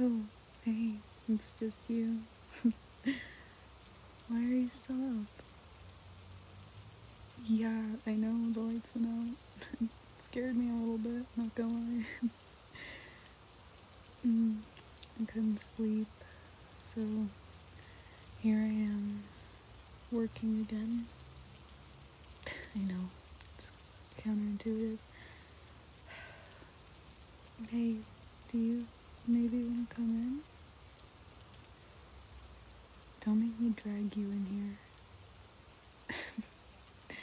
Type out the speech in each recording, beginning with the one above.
Oh, hey, it's just you. Why are you still up? Yeah, I know the lights went out. scared me a little bit, not gonna lie. Mm, I couldn't sleep, so here I am, working again. I know, it's counterintuitive. Hey, do you maybe want to come in? Don't make me drag you in here.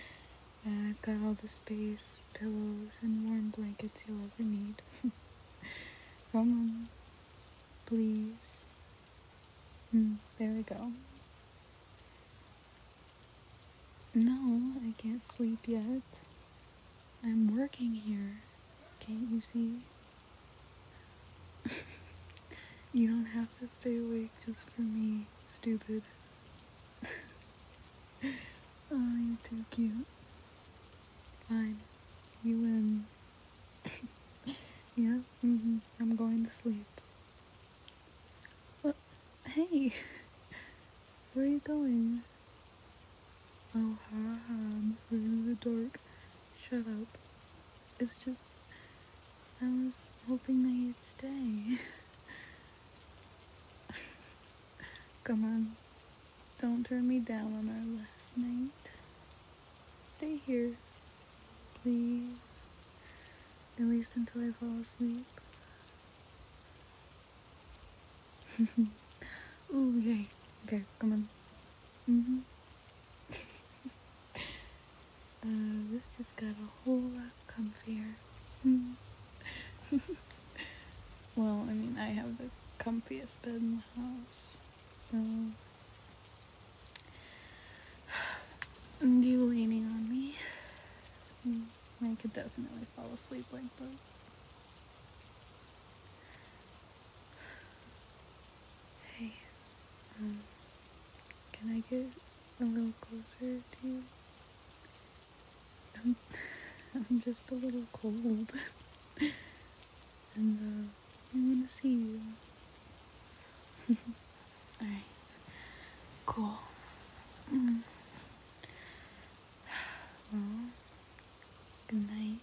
I've got all the space, pillows, and warm blankets you'll ever need. Come on, please. Hmm, there we go. No, I can't sleep yet. I'm working here. Can't you see? you don't have to stay awake just for me, stupid. Oh, you're too cute. Fine. You win. yeah, mm -hmm. I'm going to sleep. Hey! Where are you going? Oh, I'm through the dark. Shut up. It's just... I was hoping that you'd stay. Come on. Don't turn me down on our last night. Stay here. Please at least until I fall asleep. Ooh, yay. Okay, come on. Mm-hmm. Uh, this just got a whole lot comfier. well, I mean, I have the comfiest bed in the house, so and you leaning on me. Hmm, I could definitely fall asleep like this. Hey, um, can I get a little closer to you? I'm, I'm just a little cold. and uh, I want to see you. Alright. Cool. Mm. good night.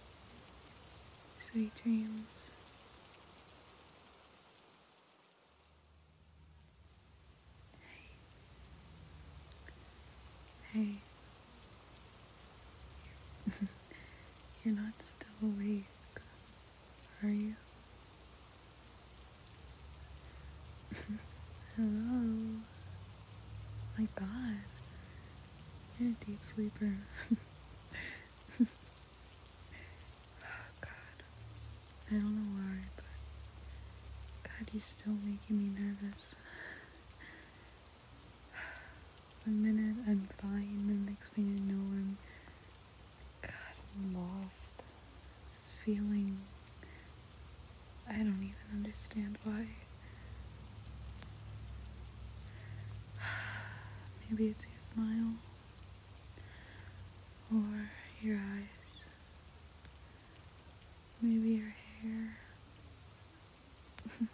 Sweet dreams. Hey. Hey. You're not still awake. Are you? Hello. My god. You're a deep sleeper. oh god. I don't know why, but god, you're still making me nervous. One minute I'm fine, the next thing I know I'm God, I'm lost. This feeling. I don't even understand why. Maybe it's your smile. Or your eyes. Maybe your hair.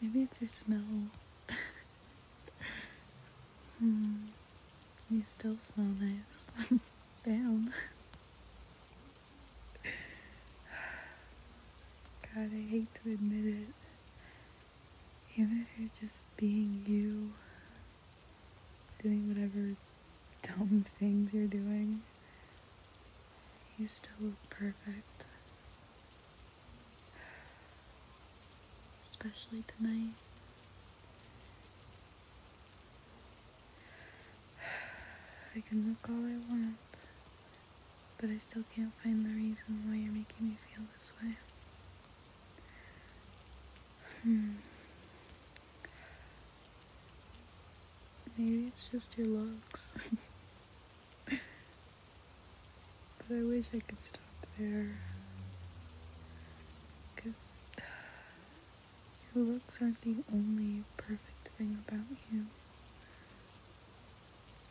Maybe it's your smell. Hmm. You still smell nice. Damn. God, I hate to admit it. Even if you're just being you, doing whatever dumb things you're doing, you still look perfect especially tonight. I can look all I want, but I still can't find the reason why you're making me feel this way. Hmm. Maybe it's just your looks. But I wish I could stop there. Because your looks aren't the only perfect thing about you.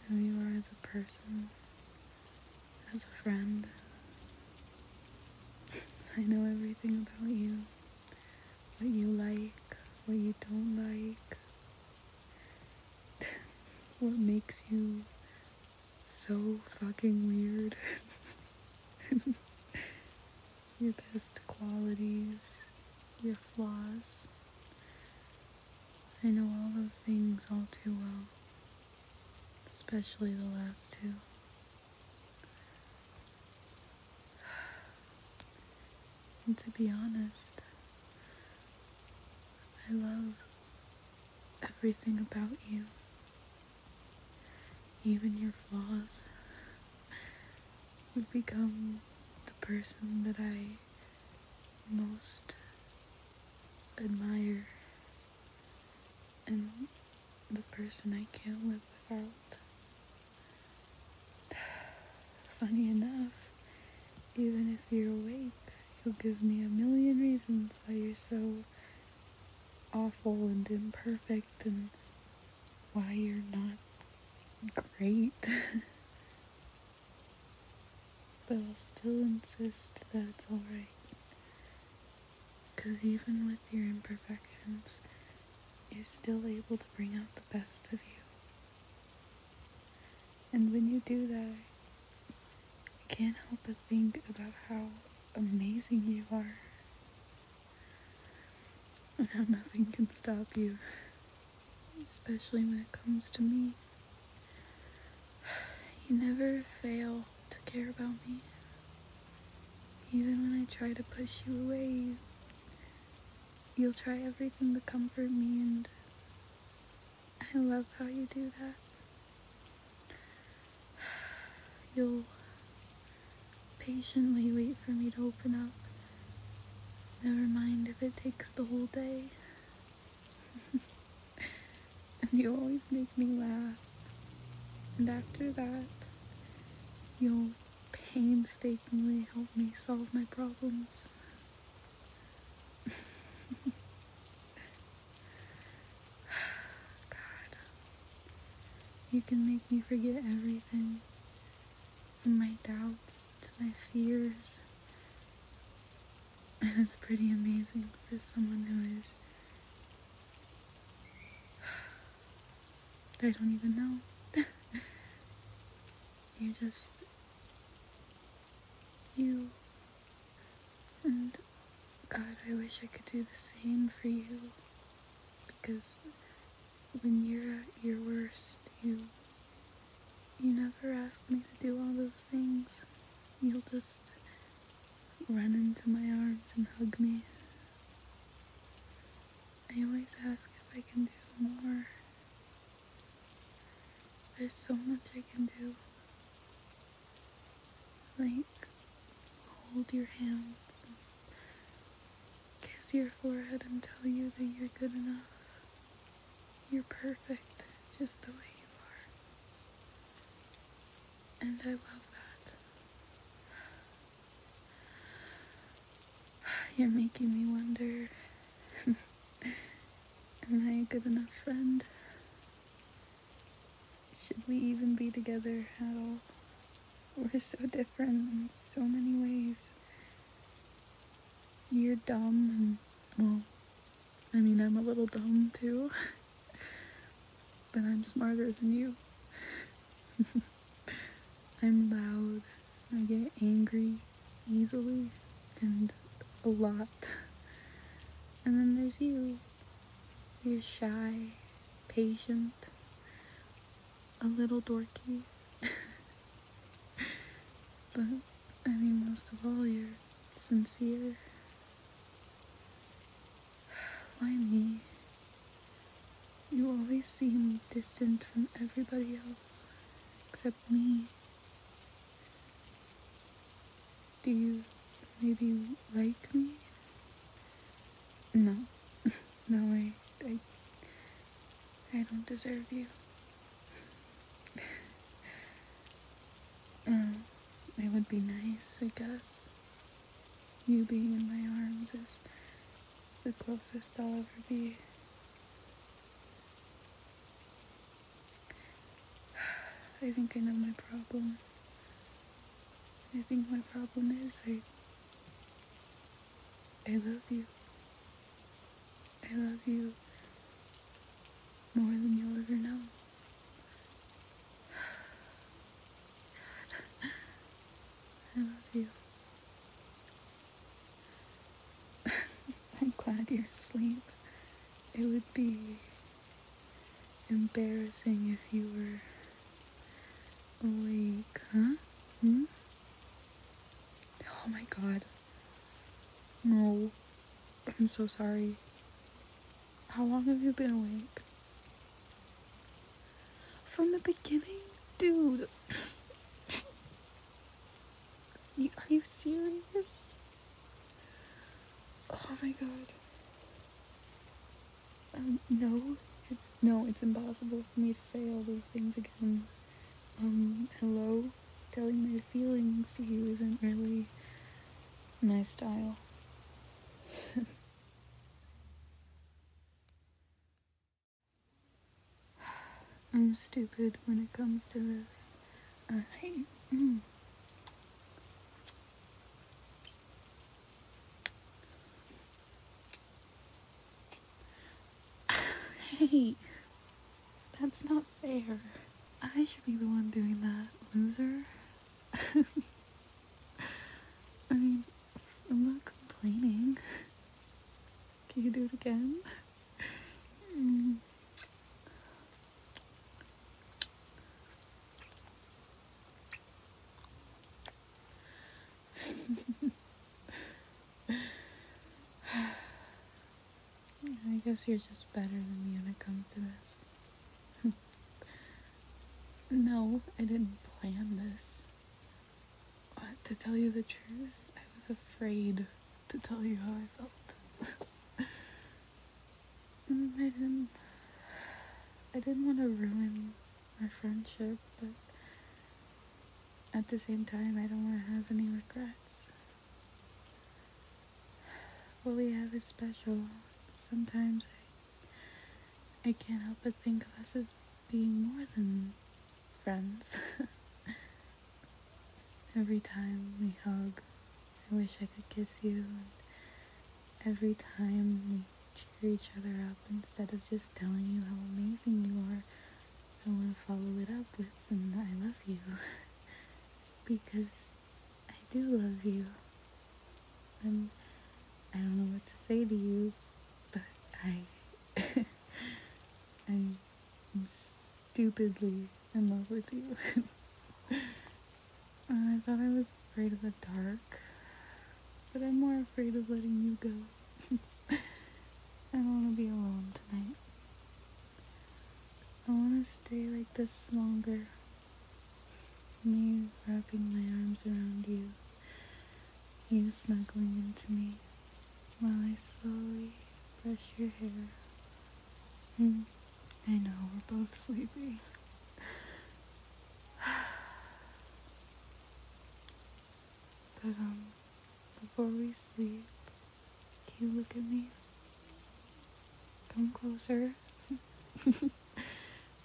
Who you are as a person, as a friend. I know everything about you. What you like, what you don't like. what makes you so fucking weird? your best qualities, your flaws. I know all those things all too well, especially the last two. And to be honest, I love everything about you, even your flaws. would become the person that I most admire and the person I can't live without. Funny enough, even if you're awake, you'll give me a million reasons why you're so awful and imperfect and why you're not great. but I'll still insist that it's alright. Because even with your imperfections, you're still able to bring out the best of you. And when you do that, I can't help but think about how amazing you are. And how nothing can stop you. Especially when it comes to me. You never fail to care about me. Even when I try to push you away, You'll try everything to comfort me, and I love how you do that. You'll patiently wait for me to open up. Never mind if it takes the whole day. and you always make me laugh. And after that, you'll painstakingly help me solve my problems. God, you can make me forget everything from my doubts to my fears. And it's pretty amazing for someone who is. I don't even know. you just you. And God, I wish I could do the same for you. Because when you're at your worst, you. You never ask me to do all those things. You'll just run into my arms and hug me. I always ask if I can do more, there's so much I can do. Like, hold your hands, and kiss your forehead, and tell you that you're good enough. You're perfect just the way you are. And I love that. You're making me wonder Am I a good enough friend? Should we even be together at all? We're so different in so many ways. You're dumb, and, well, I mean, I'm a little dumb too, but I'm smarter than you. I'm loud, I get angry easily and a lot. And then there's you. You're shy, patient, a little dorky. but I mean, most of all, you're sincere. Why me? You always seem distant from everybody else except me. Do you maybe like me? No. no, I, I. I don't deserve you. it would be nice, I guess. You being in my arms is the closest I'll ever be. I think I know my problem. I think my problem is I. I love you. I love you more than you'll ever know. God. I love you. I'm glad you're asleep. It would be embarrassing if you were awake, huh? Hmm? Oh my god. No. I'm so sorry. How long have you been awake? From the beginning? Dude. Are you serious? Oh my god. Um, no, it's no, it's impossible for me to say all those things again. Um, hello? Telling my feelings to you isn't really my style. I'm stupid when it comes to this. Uh, hey. hey. That's not fair. I should be the one doing that, loser. I mean, I'm not complaining. Can you do it again? Mm. I guess you're just better than me when it comes to this. no, I didn't plan this to tell you the truth, I was afraid to tell you how I felt. I didn't. I didn't want to ruin our friendship, but at the same time, I don't want to have any regrets. What we have is special. Sometimes I can't help but think of us as being more than friends. every time we hug, I wish I could kiss you. And every time we cheer each other up instead of just telling you how amazing you are, I want to follow it up with and I love you. because I do love you. I'm, I do not know what to say to you, but I, I'm, stupidly in love with you. I thought I was afraid of the dark, but I'm more afraid of letting you go. I don't want to be alone tonight. I want to stay like this longer. Me wrapping my arms around you, you snuggling into me while I slowly brush your hair. Mm, I know, we're both sleepy. but, um, before we sleep, can you look at me? Come closer.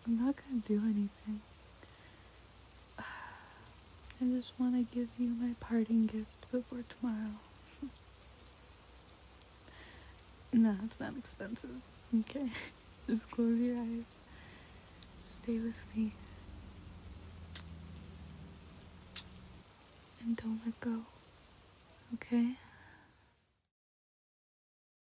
I'm not gonna do anything. I just want to give you my parting gift before tomorrow. no, it's not expensive. Okay? just close your eyes. Stay with me. And don't let go. Okay?